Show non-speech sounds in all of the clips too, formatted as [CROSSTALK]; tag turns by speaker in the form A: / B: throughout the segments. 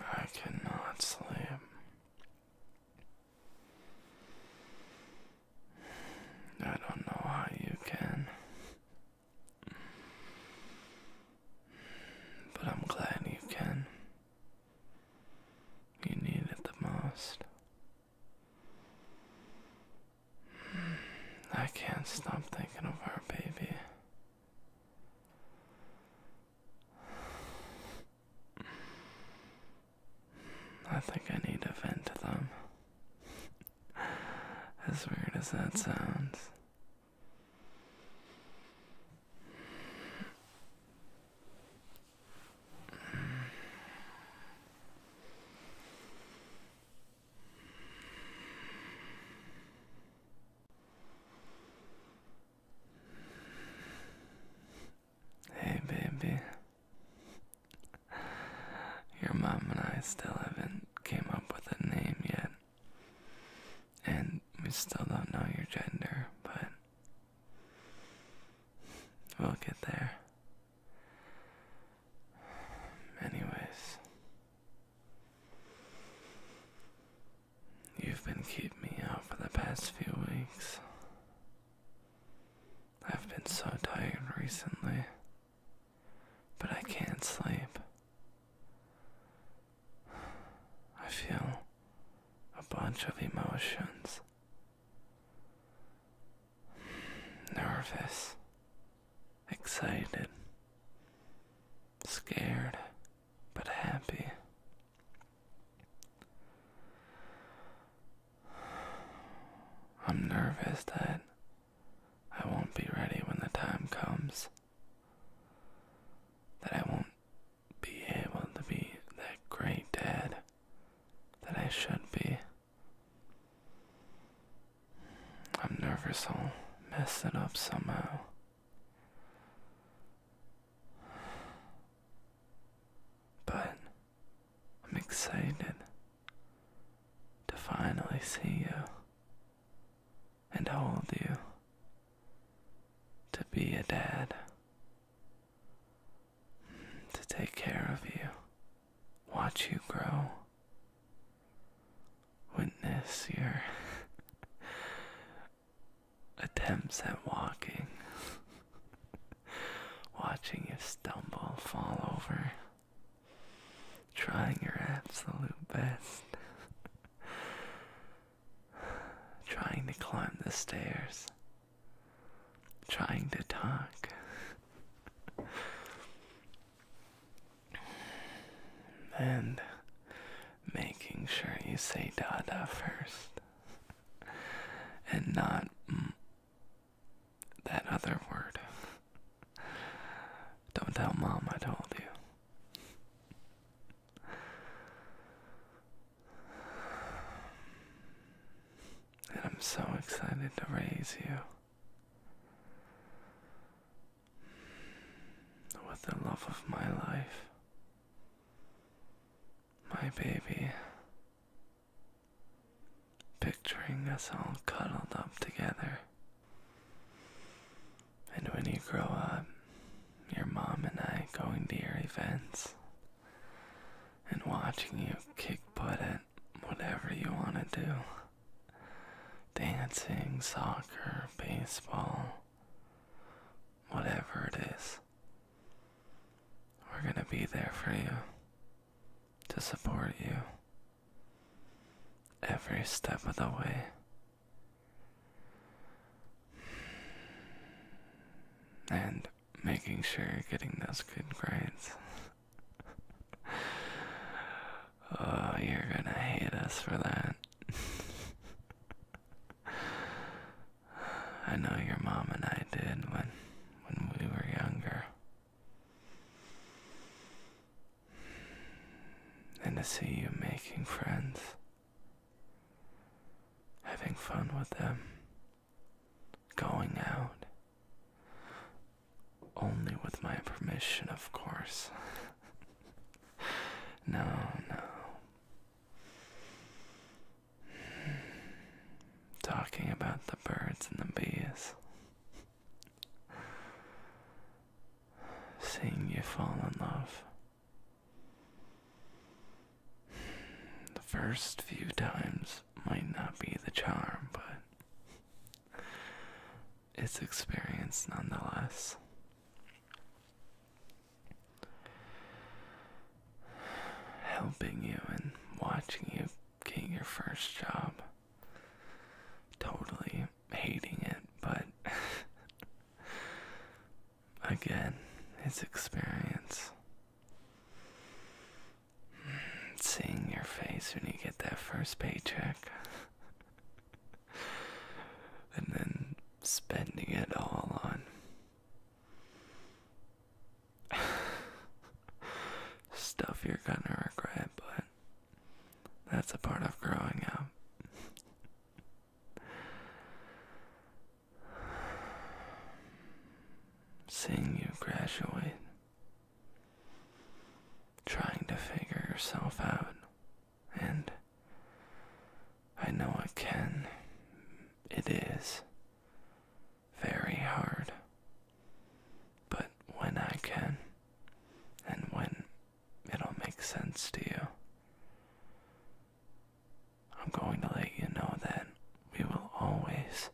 A: I cannot sleep. I don't know how you can. But I'm glad you can. You need it the most. I can't stop thinking of our baby. I think I need to vent to them. As weird as that sounds. Hey, baby. Your mom and I still haven't came up with a name yet. And we still don't know your gender, but we'll get there. Anyways, you've been keeping me up for the past few weeks. I've been so tired recently, but I can't sleep. I feel a bunch of emotions nervous, excited, scared, but happy. I'm nervous that I won't be ready when the time comes. That I won't be able to be that great dad that I should be. I'm nervous I'll mess it up somehow. But I'm excited to finally see you and hold you, to be a dad to take care of you, watch you grow, witness your [LAUGHS] attempts at walking, [LAUGHS] watching you stumble, fall over, trying your absolute best. [LAUGHS] Trying to climb the stairs, trying to talk. and making sure you say dada first and not that other word. Don't tell mom I told you and I'm so excited to raise you. With the love of my life, my baby. Picturing us all cuddled up together. And when you grow up, your mom and I going to your events, and watching you kick butt at whatever you want to do dancing, soccer, baseball, whatever it is. We're going to be there for you to support you every step of the way. And making sure you're getting those good grades. oh, you're gonna hate us for that. I know your mom and I did when when we were younger. And to see you making friends, having fun with them, Going out. Only with my permission, of course. [LAUGHS] no, no. Talking about the birds and the bees. Seeing you fall in love the first few times might not be the charm, but it's experience nonetheless. Helping you and watching you get your first job. Totally hating it, but [LAUGHS] again, it's experience. Seeing your face when you get that first paycheck, and then spending it all on. Stuff you're gonna regret, but that's a part of growing up. Seeing you graduate, trying to figure yourself out, and I know I can. It is very hard. But when I can, and when it'll make sense to you, I'm going to let you know that we will always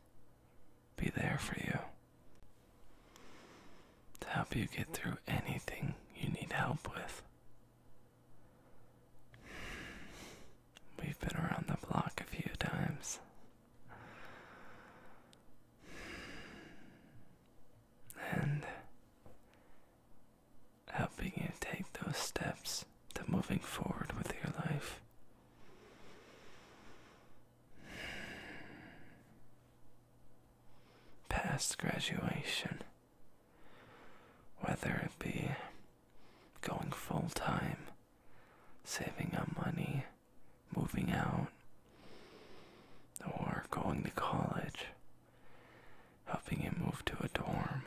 A: be there for you to help you get through anything you need help with. We've been around the block a few times. And helping you take those steps to moving forward with your life. Past graduation, whether it be going full time, saving up money, moving out, or going to college, helping you move to a dorm.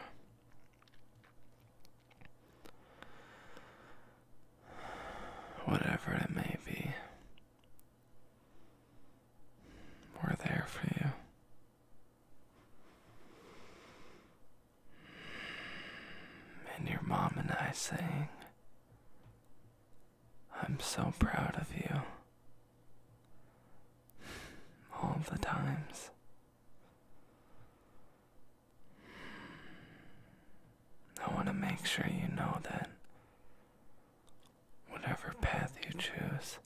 A: Whatever it may be, we're there for you. And your mom and I saying, I'm so proud of you. All the times. I want to make sure you know that whatever path you choose,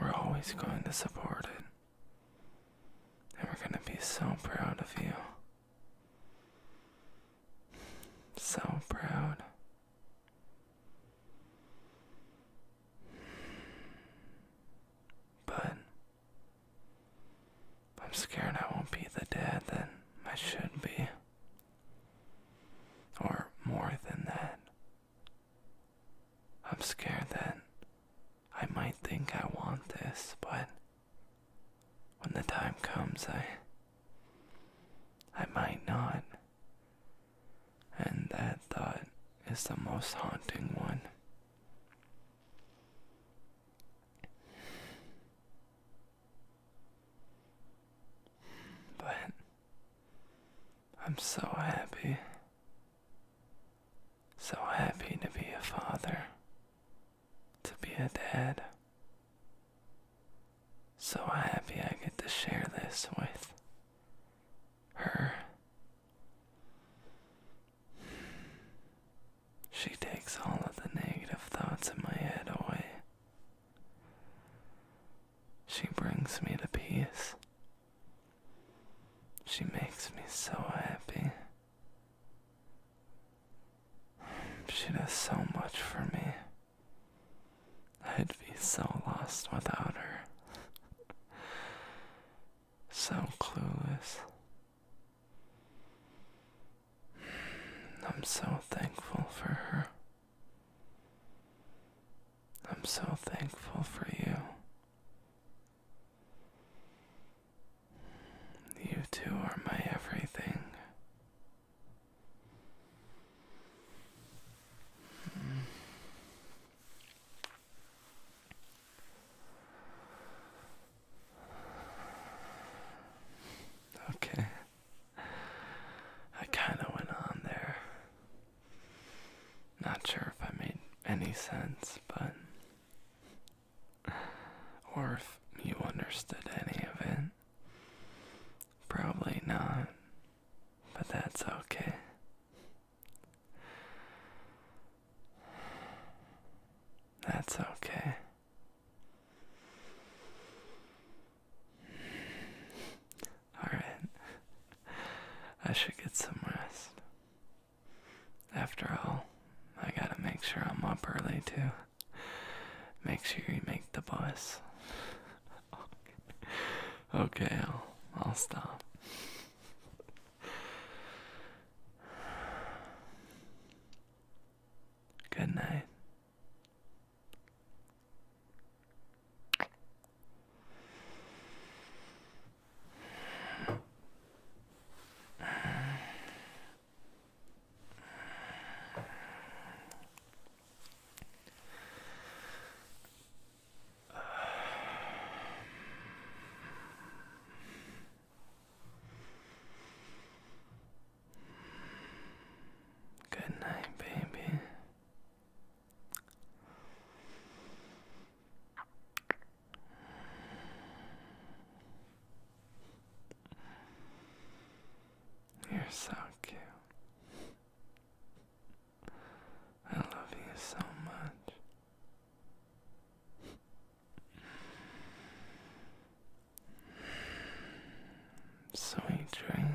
A: we're always going to support it. And we're going to be so proud of you. So proud. But I'm scared I won't be the dad that I should be. Or more than that. I'm scared that I might think I want this, but when the time comes, I. I might not. And that thought is the most haunting one. But I'm so happy, so happy to be a father, to be a dad. So happy I get to share this with her. She takes all of the negative thoughts in my head away. She brings me to peace. She makes me so happy. She does so much for me. I'd be so lost without her. so clueless. I'm so thankful for her. I'm so thankful for you. You two are my everything. Okay. I kind of went on there. Not sure if I made any sense, but. Or if you understood any of it. Probably not. But that's okay. That's okay. Alright, I should get some rest. After all, I gotta make sure I'm up early too. Make sure you make the bus. [LAUGHS] okay, I'll, I'll stop. Good night good night, baby. You're so cute. I love you so much. Sweet dreams.